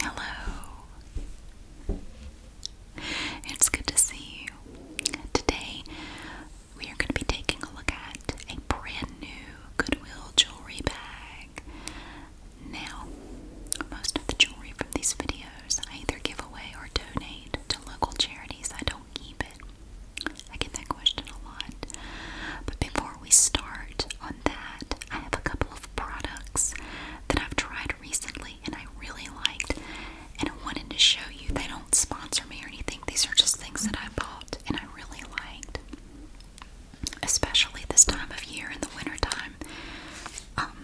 Hello. It's good to see you. Today we are going to be taking a look at a brand new Goodwill jewelry bag. Now, most of the jewelry from these videos I either give away or donate to local charities. I don't keep it. I get that question a lot. But before we start on that, I have a couple of products that I've tried recently and I really liked, and I wanted to show you. They don't sponsor me or anything, these are just things that I bought and I really liked. Especially this time of year in the wintertime. Um,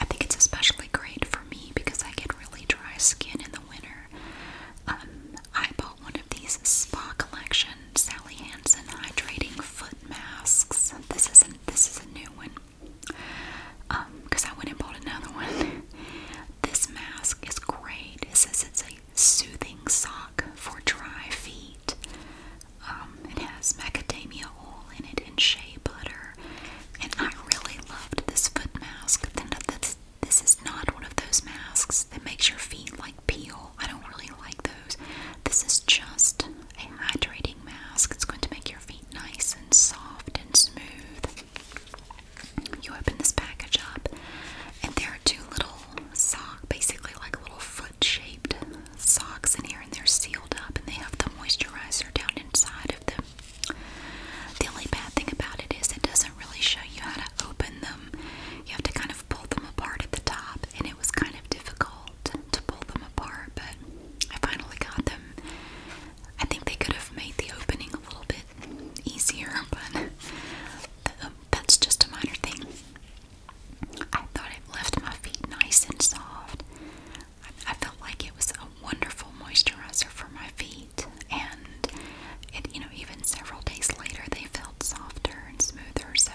I think it's especially great for me because I get really dry skin in the winter. Um, I bought one of these spa collection Sally Hansen hydrating foot masks. This isn't this is a new one. because um, I went and bought another one. This mask is great. It says it's a soothing sock for dry feet. Um, it has macadamia oil in it and shea butter. And I really loved this foot mask. Then this this is not one of those masks that makes your feet like peel. I don't really like those. This is just a hydrating mask. It's going to make your feet nice and soft and smooth. You open this package up, and there are two little sock, basically like little foot-shaped socks in here, and they're sealed up, and they have the moisturizer down inside of them. The only bad thing about it is it doesn't really show you how to open them. You have to kind of kind them apart at the top, and it was kind of difficult to pull them apart, but I finally got them. I think they could have made the opening a little bit easier, but um, that's just a minor thing. I thought it left my feet nice and soft. I, felt like it was a wonderful moisturizer for my feet, and it, you know, even several days later, they felt felt softer and smoother, so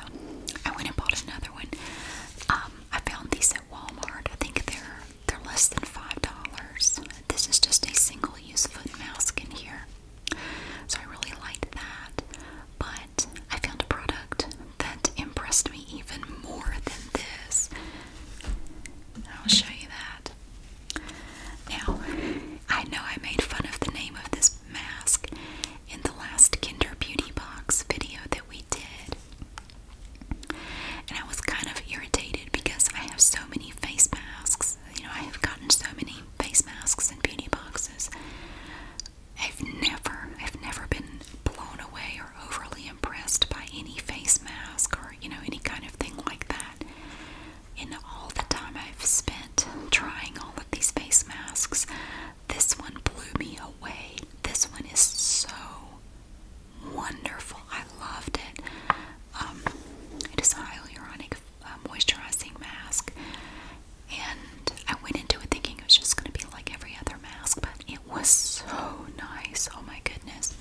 I went and bought another one. Um, I found these at Walmart. I think they're they're less than five dollars. This is just a single-use foot mask in here, so I really liked that. But I found a product that impressed me even more than this. I'll show you that. Now, I know I made fun of the name of this mask in the last Kinder Beauty Box video that we did. And I was kind of irritated because I have so many face masks. You know, I have gotten so many face masks and beauty boxes. I've never, I've never been blown away or overly impressed by any face mask or, you know, any kind of thing like that in all the time I've spent trying all of these face masks, this one blew me away. This one is so wonderful. I loved it. Um, it is a hyaluronic uh, moisturizing mask, and I went into it thinking it was just going to be like every other mask, but it was so nice. Oh my goodness.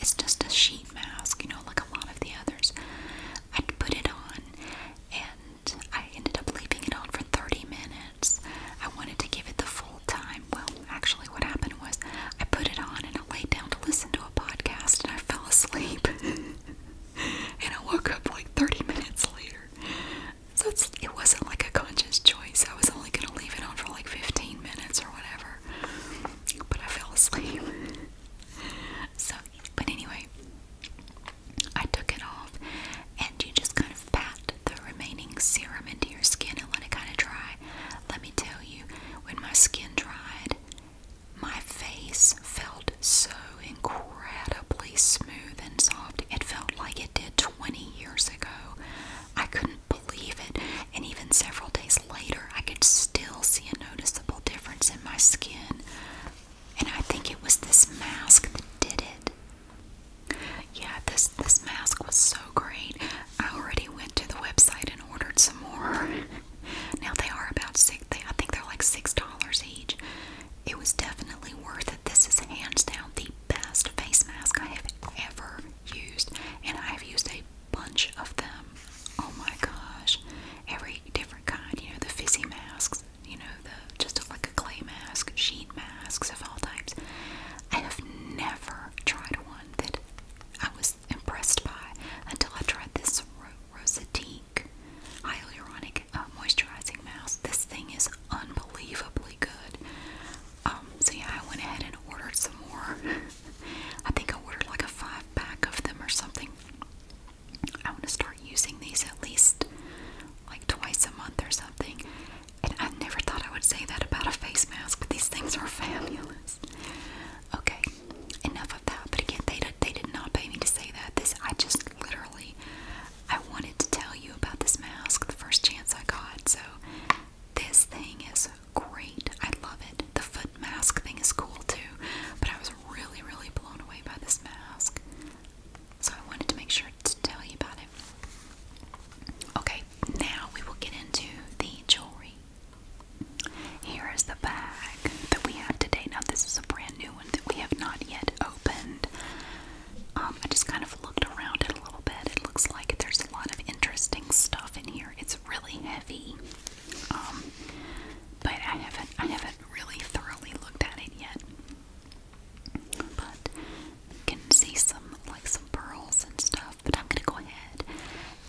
It's just a sheet mask, you know, like a lot of the others. I'd put it on and I ended up leaving it on for 30 minutes. I wanted to give it the full time. Well, actually, what happened was I put it on and I laid down to listen to a podcast and I fell asleep. and I woke up like 30 minutes later. So it wasn't like a conscious choice. I was only going to leave it on for like 15 minutes or whatever. But I fell asleep. So but anyway, I took it off, and you just kind of pat the remaining serum into your skin and let it kind of dry. Let me tell you, when my skin dried, my face felt so incredibly smooth and soft. It felt like it did 20 years ago. I couldn't believe it, and even several days later, I could still see a noticeable difference in my skin. And I think it was this mask that did it. Yeah, this this mask was so great. I already went to the website and ordered some more. now they are about six. They, I think they're like six dollars each. It was definitely worth it. This is hands down the best face mask I have ever used, and I have used a bunch of them. Oh my gosh. Every different kind, you know, the fizzy masks, you know, the just like a clay mask, sheet masks of all types. I have never tried one that I was impressed by until I tried this Ro hyaluronic uh, moisturizing mask. This thing is unbelievably good. Um, so yeah, I went ahead and ordered some more. I think I ordered like a five pack of them or something. I want to start using these at least like twice a month or something. And I never thought I would say that about a face mask, but these things are fabulous. Okay, enough of that. But again, they did, they did not pay me to say that. This I just literally I wanted to tell you about this mask the first chance I got. So this thing is great. I love it. The foot mask thing is cool too, but I was really, really blown away by this mask. So I wanted to make sure to tell you about it. Okay, now we will get into the jewelry. Here is the bag that we have today. Now, this is a brand new one that we have not yet opened. Um, I just kind of looked around it a little bit. It looks like there's a lot of interesting stuff in here. It's really heavy. Um, but I haven't I haven't really thoroughly looked at it yet. But you can see some like some pearls and stuff. But I'm gonna go ahead.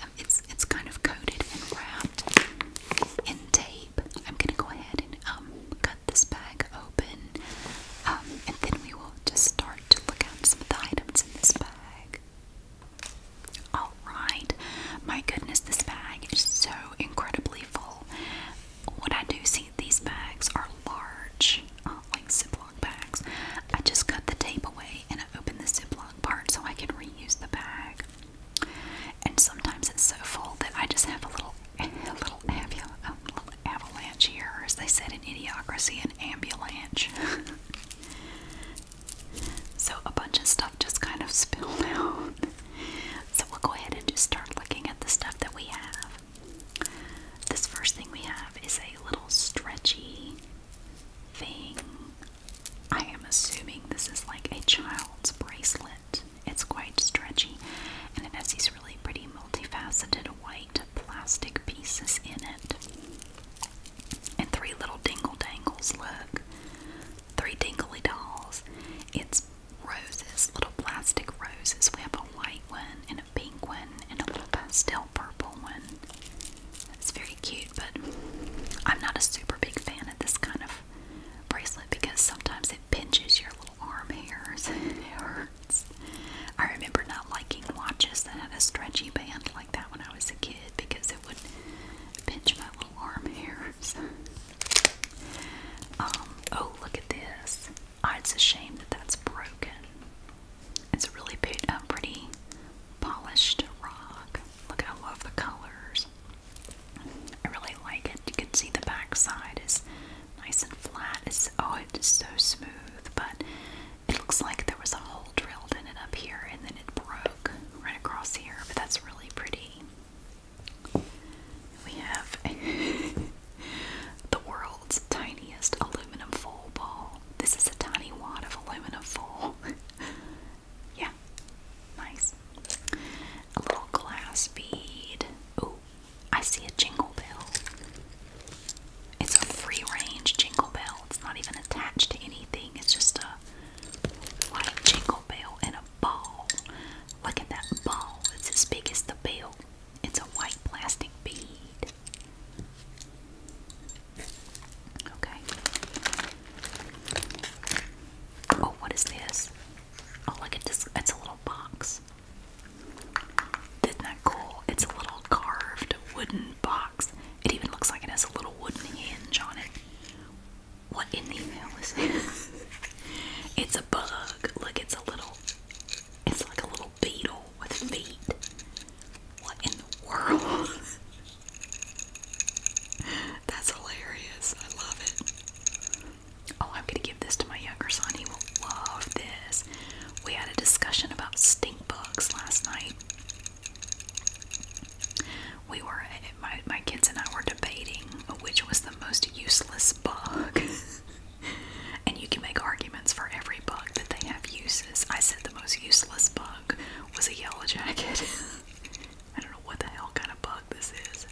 Um, it's it's kind of coated and wrapped in tape. I'm gonna go ahead and um cut this bag open, um, and then we will just start to look at the items in this bag. Alright, my goodness, this bag is so incredibly full. What I do see, these bags are large, uh, like Ziploc bags. I just cut the tape away and open the Ziploc part so I can reuse the bag. And sometimes it's so full that I just have a little, a little, avalanche here, as they said in Idiocracy, an ambulance. So a bunch of stuff just kind of spilled out. So we'll go ahead and just start looking at the stuff that we have. This first thing we have is a little stretchy thing. I am assuming this is like a child's bracelet. It's quite stretchy and it has these really pretty multifaceted white plastic pieces in it. And three little dingle dangles look three tingly dolls. It's roses, little plastic roses. We have a white one and a pink one and a little pastel purple one. It's very cute, but I'm not a super big fan of this kind of bracelet because sometimes it pinches your little arm hairs and it hurts. I remember not liking watches that had a stretchy band like that when I was a kid because would pinch my little arm hairs. Um, oh, look at this. Ah, it's a shame that that's broken. It's a really pretty polished rock. Look, I love the colors. I really like it. You can see the back side is nice and flat. It's oh, it's so smooth, but it looks like there was a hole drilled in it up here and then it broke right across here, but that's really pretty. We have the world's tiniest aluminum foil ball. This is a tiny wad of aluminum foil. yeah, nice. A little glass bead. Ooh, I see a jingle bell. It's a free range jingle bell. It's not even attached to anything, it's just a like Jingle Bell and a ball. Look at that ball. It's as big as the bell. It's a white plastic bead. Okay. Oh, what is this? Oh, look at this. It's a little box. Isn't that cool? It's a little carved wooden box. It even looks like it has a little wooden hinge on it. What in the hell is this? it's a bug. Look, it's a little. It's like a little beetle with feet. What in the world? That's hilarious. I love it. Oh, I'm gonna give this to my younger son. He will love this. We had a discussion about stink bugs last night. We were my my kids and I were debating which was the most useless bug. and you can make arguments for every bug that they have uses. I said the most useless bug was a yellow jacket. I don't know what the hell kind of bug this is.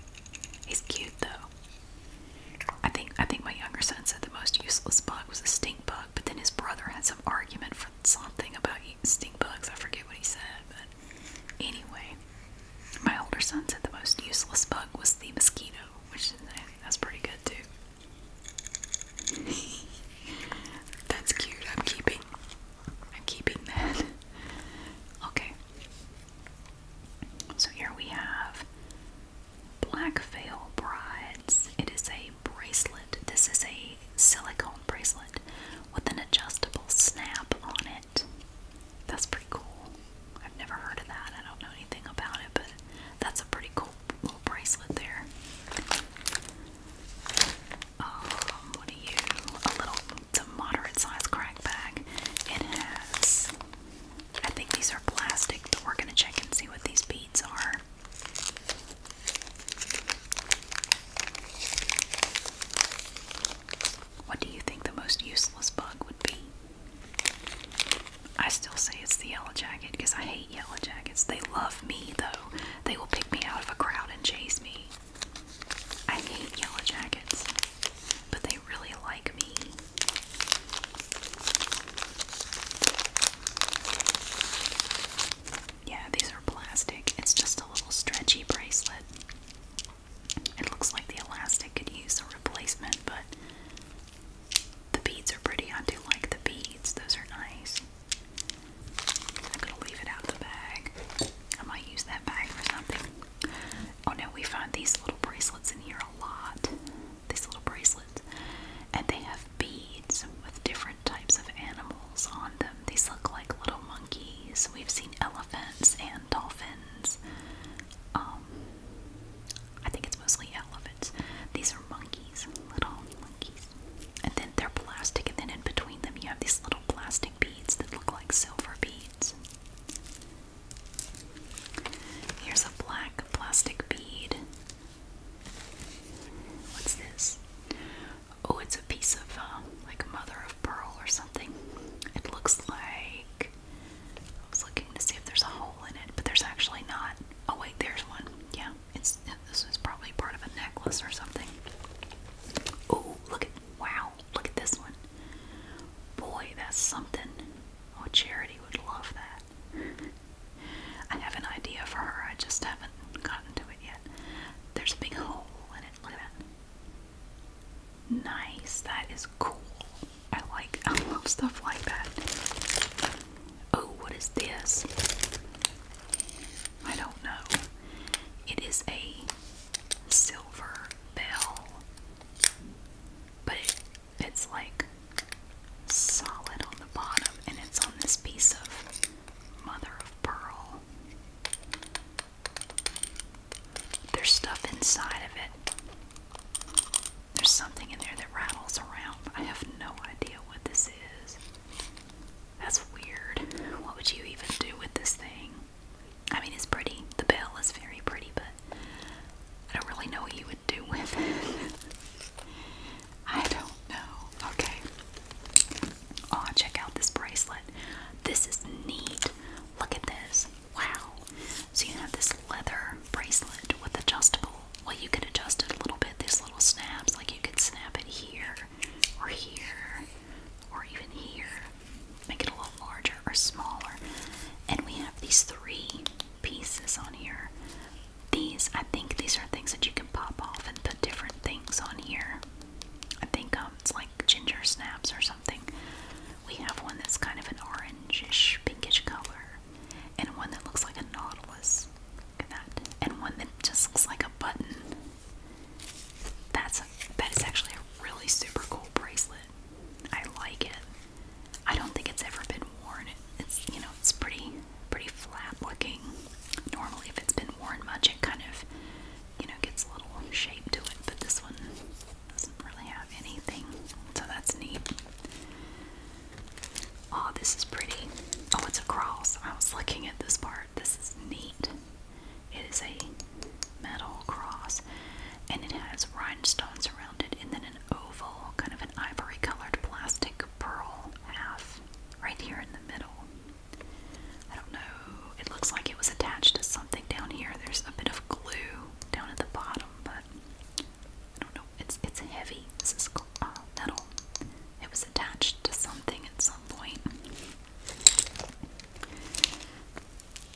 He's cute though. I think I think my younger son said the most useless bug was a stink bug, but then his brother has argument for something about eating stink bugs. I forget what he said, but anyway, my older son said the most useless bug was the mosquito, which I eh, that's pretty good too. that's cute. I'm keeping. I'm keeping that. Okay. So here we have Black Veil Brides. It is a bracelet. This is a silicone bracelet with an adjustable snap on it. That's pretty cool. I've never heard of that. I don't know anything about it, but that's a pretty cool little bracelet there. Um, what do you? A little, it's a moderate size crack bag. It has, I think these are plastic, but we're gonna check and see what these beads are. What do you think the most useless bug would be? I still say it's the yellow jacket because I hate yellow jackets. They love me though. They will pick me out of a crowd and chase me. I hate yellow jackets, but they really like me. Yeah, these are plastic. It's just a little stretchy bracelet. It looks like the elastic could use a replacement, but the beads are pretty. I do like the beads, those are nice. I'm gonna leave it out the bag. I might use that bag for something. Oh no, we find these little bracelets in here a lot. These little bracelets. And they have beads with different types of animals on them. These look like little monkeys. We've seen elephants and dolphins. Um, I think it's mostly elephants. These are monkeys, little monkeys. And then they're plastic, and then in between them, you have these little plastic beads that look like silver beads. Here's a black plastic bead. What's this? Oh, it's a piece of um, like mother of pearl or something. It looks like I was looking to see if there's a hole in it, but there's actually not. Oh wait, there's one. Yeah, it's this is probably part of a necklace or something. Oh, look at wow, look at this one. Boy, that's something. Oh, Charity would love that. I have an idea for her. I just haven't gotten to it yet. There's a big hole in it. Look at that. Nice. That is cool. I like. I love stuff like that. Oh, what is this? I don't know. It is a silver bell, but it's like solid on the bottom, and it's on this piece of mother of pearl. There's stuff inside of it. There's something in there that rattles around. I have no idea what this is. That's weird. What would you even do with this thing? I mean, it's pretty. The bell is very pretty, but I don't really know what you would do with it. I don't know. Okay. Oh, check out this bracelet. This is neat. Look at this. Wow. So you have this leather bracelet with adjustable. Well, you can adjust it a little bit. These little snaps, like you can snap it here, or here, or even here. Make it a little larger or smaller. And we have these three pieces on here. These, I think these are things that you can pop off and put different things on here. I think um, it's like ginger snaps or something. We have one that's kind of an orangish, pinkish color, and one that looks like a nautilus. Look at that. And one that just looks like a button. That's that is actually a really super cool bracelet. I like it. I don't think it's ever been worn. It's you know it's pretty pretty flat looking. Normally, if it's been worn much, it kind of, you know, gets a little shape to it, but this one doesn't really have anything, so that's neat. Oh, this is pretty. Oh, it's a cross. I was looking at this part. This is neat. It is a metal cross, and it has rhinestones around it, and then an oval, kind of an ivory colored plastic pearl half right here in the middle. I don't know. It looks like it was attached to something down here. There's a bit of glue down at the bottom, but I don't know. It's it's heavy. This is uh, It was attached to something at some point.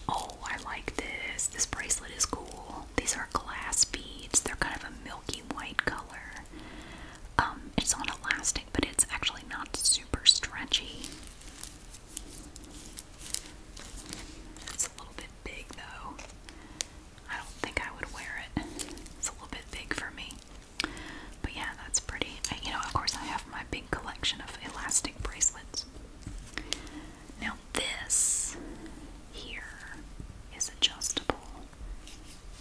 Oh, I like this. This bracelet is cool. These are glass beads. They're kind of a milky white color. Um, it's on elastic, but it's actually not super stretchy. It's a little bit big though. I don't think I would wear it. It's a little bit big for me. But yeah, that's pretty. you know, of course, I have my big collection of elastic bracelets. Now, this here is adjustable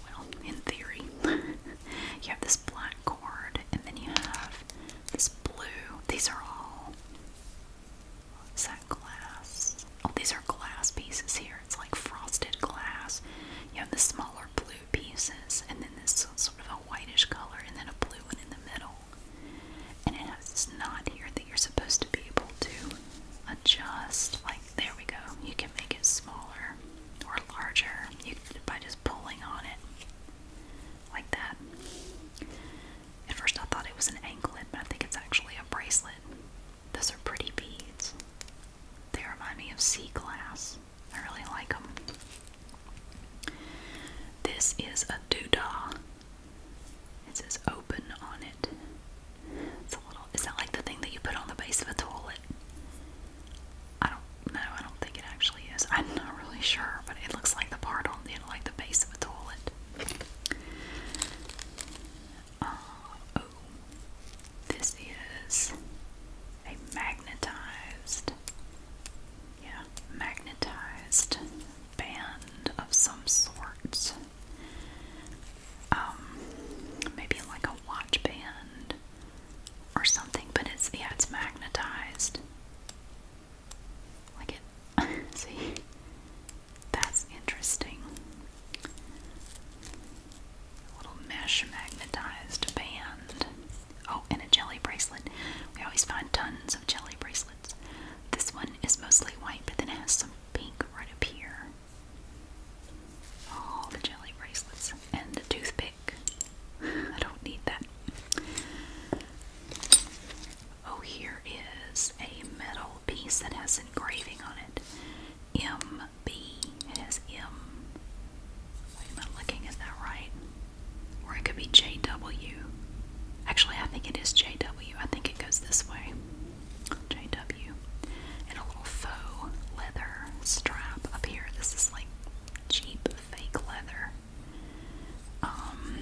well, in theory, you have this black cord, and then you have this blue. These are all. Is that glass? Oh, these are glass pieces here. It's like frosted glass. You have the smaller blue pieces, and then this sort of a whitish color, and then a blue one in the middle. And it has this knot here that you're supposed to be able to adjust, like there we go. You can make it smaller or larger you, by just pulling on it like that. At first, I thought it was an anklet, but I think it's actually a bracelet. Those are pretty beads. They remind me of sea glass. I really like them. This is a doodah. It says open on it. It's a little. Is that like the thing that you put on the base of a toilet? I don't know. I don't think it actually is. I'm not really sure, but it looks like the part on the like the base of a toilet. Uh, oh, this is a magnetized, yeah, magnetized band of some sort. Um, maybe like a watch band or something, but it's yeah, it's magnetized. Like it see that's interesting. A little mesh magnetized band. Oh, and a jelly bracelet. We always find tons of jelly bracelets. This one is mostly white, but then it has some pink right up here. All the jelly bracelets and the toothpick. I don't need that. Oh, here is a metal piece that has engraving on it. MB. It has M. am I looking at that right? Or it could be JW. Actually, I think it is JW. I think it goes this way. JW. And a little faux leather strap up here. This is like cheap fake leather. Um,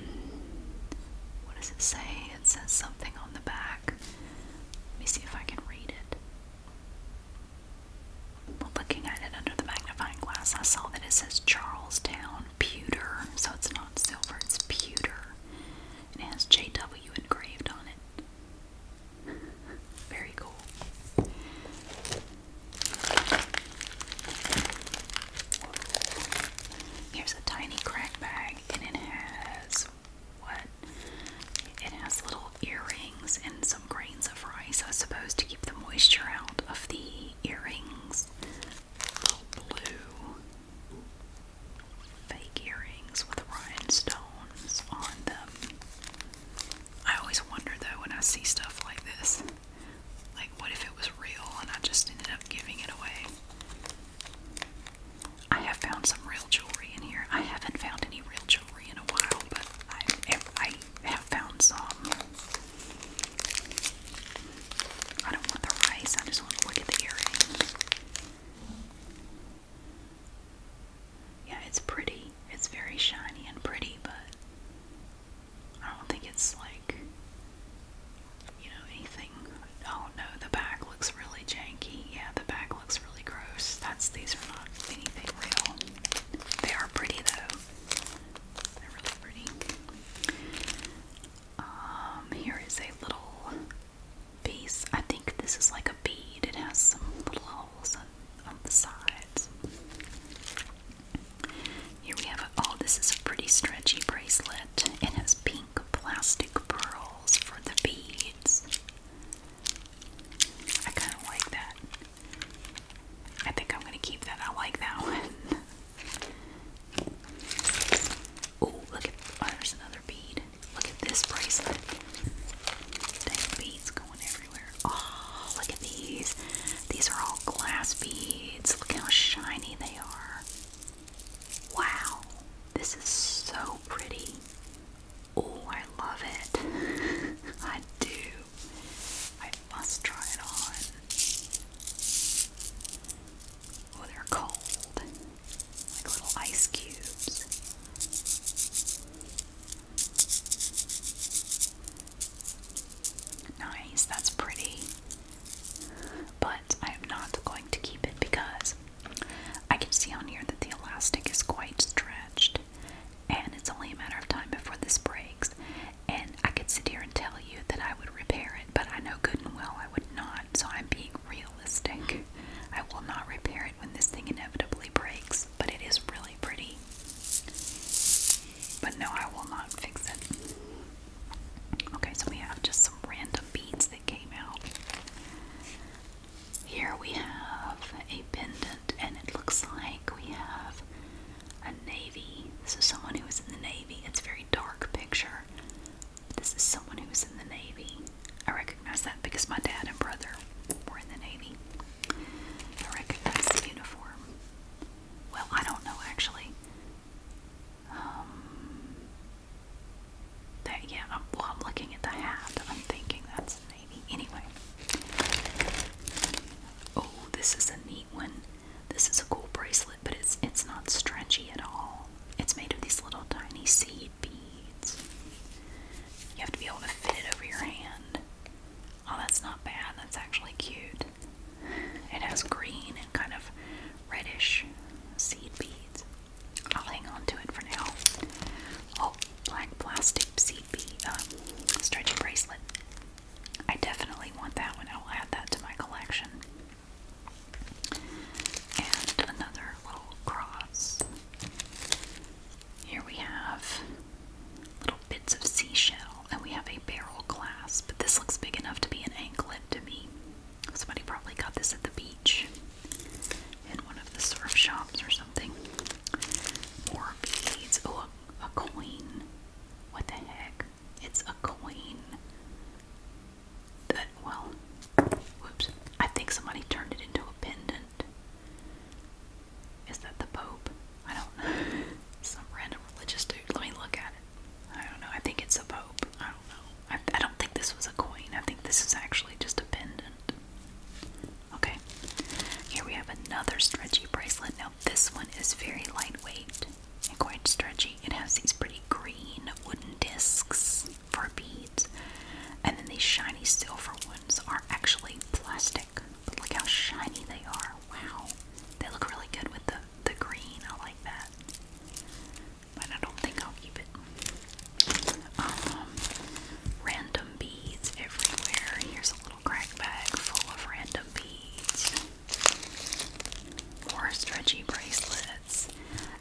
what does it say? It says something on the back. Let me see if I can read it. Well, looking at it under the magnifying glass, I saw that it says Charlestown Pewter. So it's not silver, it's pewter. And it has JW engraved on it. Very cool. Here's a tiny crack bag, and it has what? It has little earrings and some grains of rice, I to keep the moisture out of the earrings. Oh, blue fake earrings with rhinestones on them. I always wonder though when I see stuff like this, like what if it was real and I just ended up giving it away? I have found some real jewelry in here. I haven't found any real jewelry in a while, but I, have found some. I don't want the rice, I just want to look at the earring. Yeah, it's pretty. It's very shiny and pretty, but I don't think it's like, you know, anything. Oh no, the back looks really janky. Yeah, the back looks really gross. That's these are not anything real. They are pretty though. They're really pretty. Um, here is a little I think this is like a bead. It has some little holes on, the sides. Here we have, oh, this is a pretty stretchy bracelet. It has pink plastic pearls for the beads. I kind of like that. I think I'm going to keep that. I like that one. Oh, look there's another bead. Look at this bracelet. There's beads going everywhere. Oh, look at these. These are all glass beads. Look how shiny they are. Wow, this is so pretty. Oh, I love it. I do. I must try it on. Oh, they're cold like little ice cubes. Nice, that's pretty. But I am not going to keep it because I can see on here that the elastic is quite stretched and it's only a matter of time before this breaks. And I could sit here and tell you that I would repair it, but I know good and well I would not, so I'm being realistic. I will not repair it when this thing inevitably breaks, but it is really pretty. But no, I will not fix it. Okay, so we have just some random beads that came out. Here we have a pendant, and it looks like we have a navy. So, someone who was in the navy. It's a very dark picture. This is someone who was in the navy. I How's that because my dad and brother were in the Navy. I recognize the uniform. Well, I don't know actually. Um, that yeah, well, I'm looking at the hat. I'm thinking that's the Anyway. Oh, this is a neat one. This is a cool bracelet, but it's it's not stretchy at all. It's made of these little tiny seeds beads. You have to be able to fit it over your hand. Oh, that's not bad. That's actually cute. It has green and kind of reddish seed beads. I'll hang on to it for now. Oh, black plastic seed bead um, stretchy bracelet. I definitely want that one. I will add that to my collection. And another little cross. Here we have little bits of seashell, and we have a barrel clasp, but this looks big enough to be an anklet to me. Somebody probably got this at the beach in one of the surf shops or something. More beads. Oh, a, coin. What the heck? It's a coin well, whoops, I think somebody turned it into a pendant. Is that the Pope? I don't know. Some random religious dude. Let me look at it. I don't know. I think it's a Pope. I don't know. I don't think this was a coin. I think this is actually just a pendant. Okay. Here we have another stretchy bracelet. Now, this one is very lightweight and quite stretchy. It has these pretty green wooden discs for beads. And then these shiny silver ones are actually plastic. But look how shiny they are. Wow. They look really good with the, the green. I like that. But I don't think I'll keep it. Um, random beads everywhere. Here's a little crack bag full of random beads. More stretchy bracelets.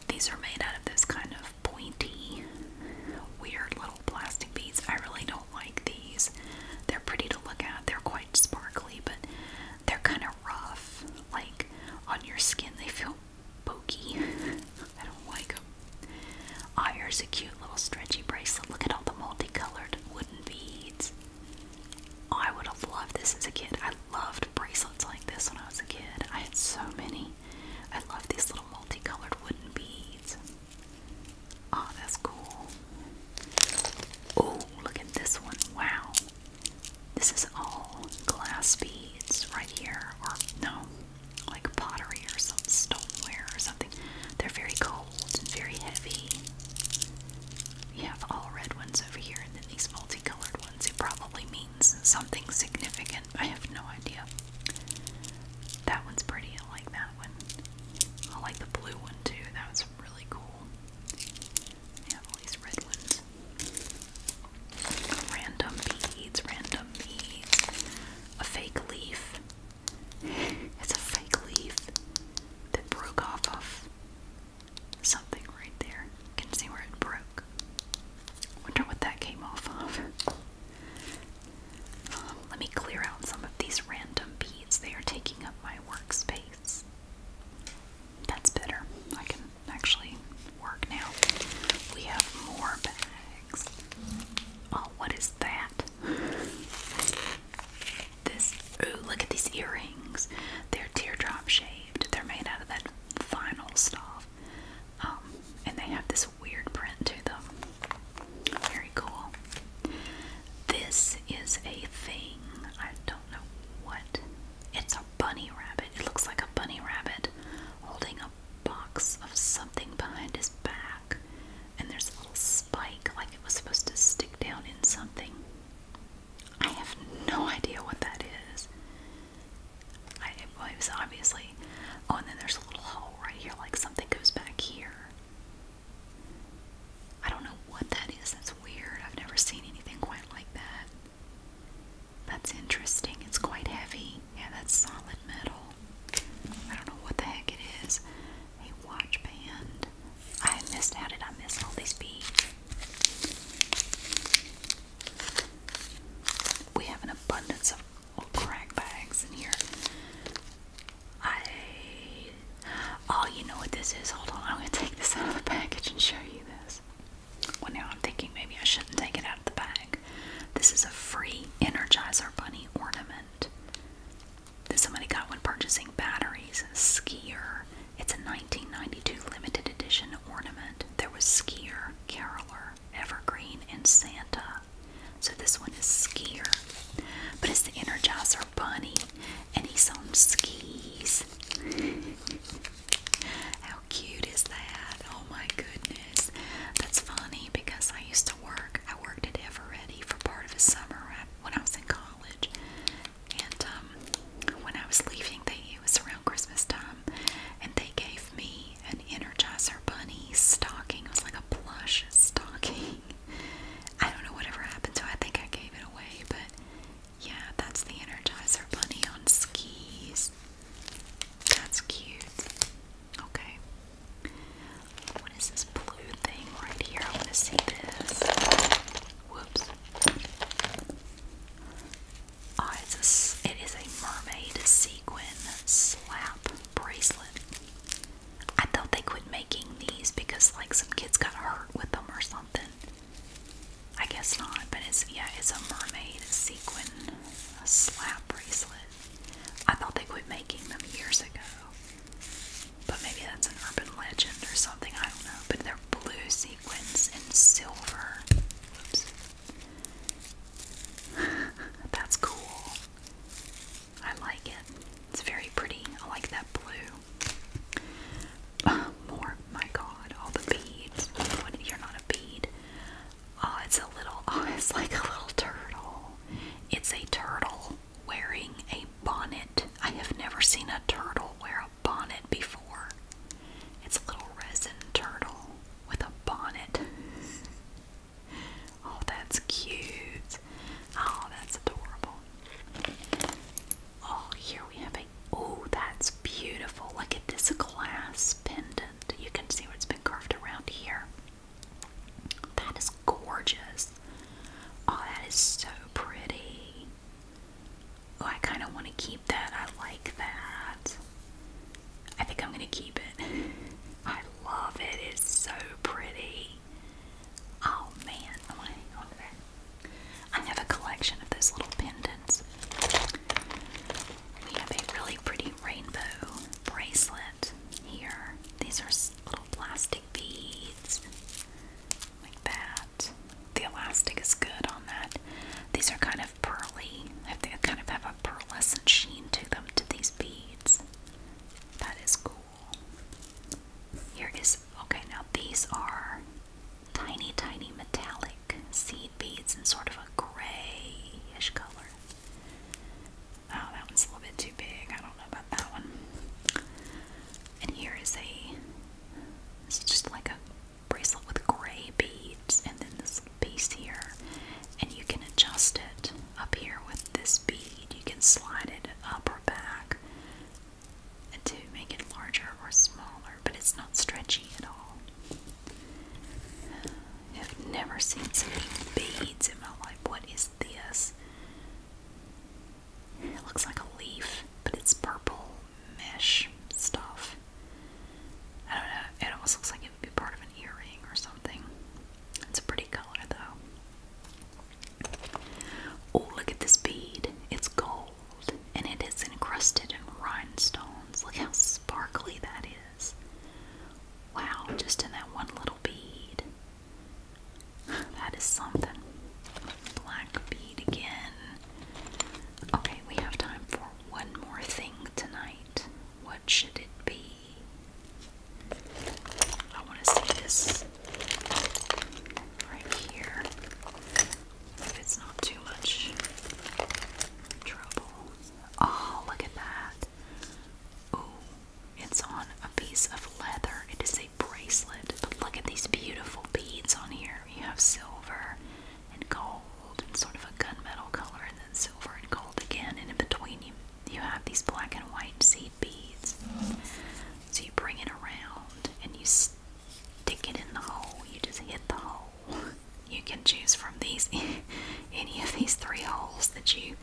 These are made out of this kind of pointy, weird little plastic beads. I really don't like these. They're pretty to look at, they're quite sparkly, but they're kind of rough. Like on your skin, they feel pokey. I don't like them. Ah, a cute little stretchy bracelet. Look at all the multicolored wooden beads. Oh, I would have loved this as a kid. I loved bracelets like this when I was a kid. I had so many. I love these little multicolored wooden beads. Oh, that's cool. Oh, look at this one. Wow. This is all glass beads right here. Or, no, like pottery or some stoneware or something. They're very cold and very heavy. You have all red ones over here, and then these multicolored ones. It probably means something significant. I have no idea. That one's pretty. I like that one. I like the blue one too. That was really cool. They have all these red ones. Random beads, random beads. A fake leaf. It's a fake leaf that broke off of something right there. You can see where it broke. Wonder what that came off of. Um, let me clear out some of these random beads. They are taking up my workspace. That's better. I can actually work now. We have more bags. Oh, what is that? This. Ooh, look at these earrings. They're teardrop shaped. They're made out of that vinyl stuff. Um, and they have this weird print to them. Very cool. This is a thing. I don't know what. It's a bunny rabbit. It looks like a bunny rabbit holding a box of something behind his back. And there's a little spike like it was supposed to stick down in something. I have no idea what that is it was obviously. Oh, and then there's a little hole right here, like something goes back here. I don't know what that is. That's weird. I've never seen anything quite like that. That's interesting. It's quite heavy. Yeah, that's solid metal. I don't know what the heck it is. A watch band. I missed. How did I miss all these beads? We have an abundance of old crack bags in here. I. Oh, you know what this is? Hold on, I'm gonna take this out of the package and show you this. Well, now I'm thinking maybe I shouldn't take it out of the bag. This is a free Energizer Bunny ornament that somebody got when purchasing batteries. Skier. It's a 1992 limited edition ornament. There was Skier, Caroler, Skier, Evergreen, and Santa. So this one is Skier. But it's the Energizer Bunny, and he's on skis. How cute is that? Oh my goodness. That's funny because I used to work, I worked at Eveready for part of a summer when I was in college. And um, when I was leaving, they it was around Christmas time, and they gave me an Energizer Bunny stocking. It was like a plush stocking. I don't know whatever happened to it. I think I gave it away, but yeah, that's the Energizer Bunny on skis. That's cute. Okay. What is this blue thing right here? I want to see this. Whoops. Oh, it's a, it is a mermaid sequin slap bracelet. I thought they quit making these because like some kids got hurt with them or something. I guess not, but it's yeah, it's a mermaid sequin slap bracelet. I thought they quit making them years ago. But maybe that's an urban legend or something, I don't know. But they're blue sequins and silver. Oops. That's cool. I like it. It's very pretty. I like that blue. more. My god, all the beads. you're not a bead. Oh, it's a little, oh, it's like a little turtle. It's a turtle wearing a bonnet. I have never seen a turtle wear a bonnet before. It's a little resin turtle with a bonnet. oh, that's cute. Oh, that's adorable. Oh, here we have a. Oh, that's beautiful. Look at this glass pendant. You can see what's been carved around here. That is gorgeous. Oh, that is so pretty. Oh, I kind of want to keep that. I like that. I think I'm going to keep it. I love it. It's so pretty. Oh man, I want to hang on to that. I have a collection of those little pendants. We have a really pretty rainbow bracelet here. These are little plastic beads like that. The elastic is good on that. These are kind of kind of pearly. They kind of have a pearlescent sheen to them, to these beads. That is cool. Here is, okay, now these are tiny, tiny metallic seed beads in sort of a grayish color. Oh, that one's a little bit too big. I don't know about that one. And here is a, This is just like a bracelet with gray beads and then this piece here and you can adjust it up here with this bead you can slide it up or back to make it larger or smaller but it's not stretchy at all I've never seen so many beads in my life what is this it looks like a leaf but it's purple mesh stuff I don't know, it almost looks like it would be part of an earring or something. It's a pretty color though. Oh, look at this bead. It's gold and it is encrusted in rhinestones. Look how sparkly that is. Wow, just in that one little bead. That is something. Black bead again. Okay, we have time for one more thing tonight. What should it be? I want to see this right here. If it's not too much trouble. Oh, look at that. Ooh, it's on a piece of leather. It is a bracelet. look at these beautiful beads on here. You have silver, and gold and sort of a gunmetal color and then silver and gold again and in between you you have these black and white seed beads. So you bring it around and you stick it in the hole. You just hit the hole. You can choose from these any of these three holes that you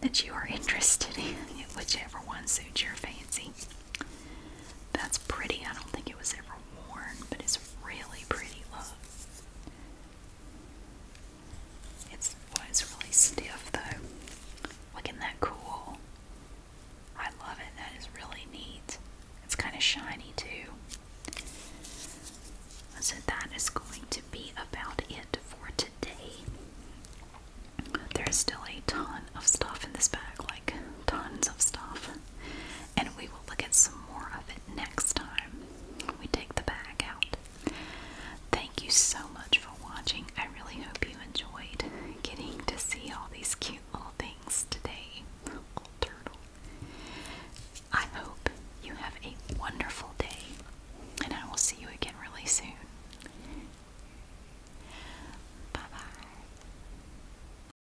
that you are interested in, whichever one suits your fancy. That's pretty. I don't think it was ever worn, but it's really pretty. Look. It's it's really stiff though. Look at that cool. I love it. That is really neat. It's kind of shiny too. So that is going to be about it for today. There's still a ton of stuff in this bag, like tons of stuff and we will look at some more of it next time we take the bag out. Thank you so much for watching. I really hope you enjoyed getting to see all these cute little things today. Little turtle. I hope you have a wonderful day, and I will see you again really soon. Bye bye.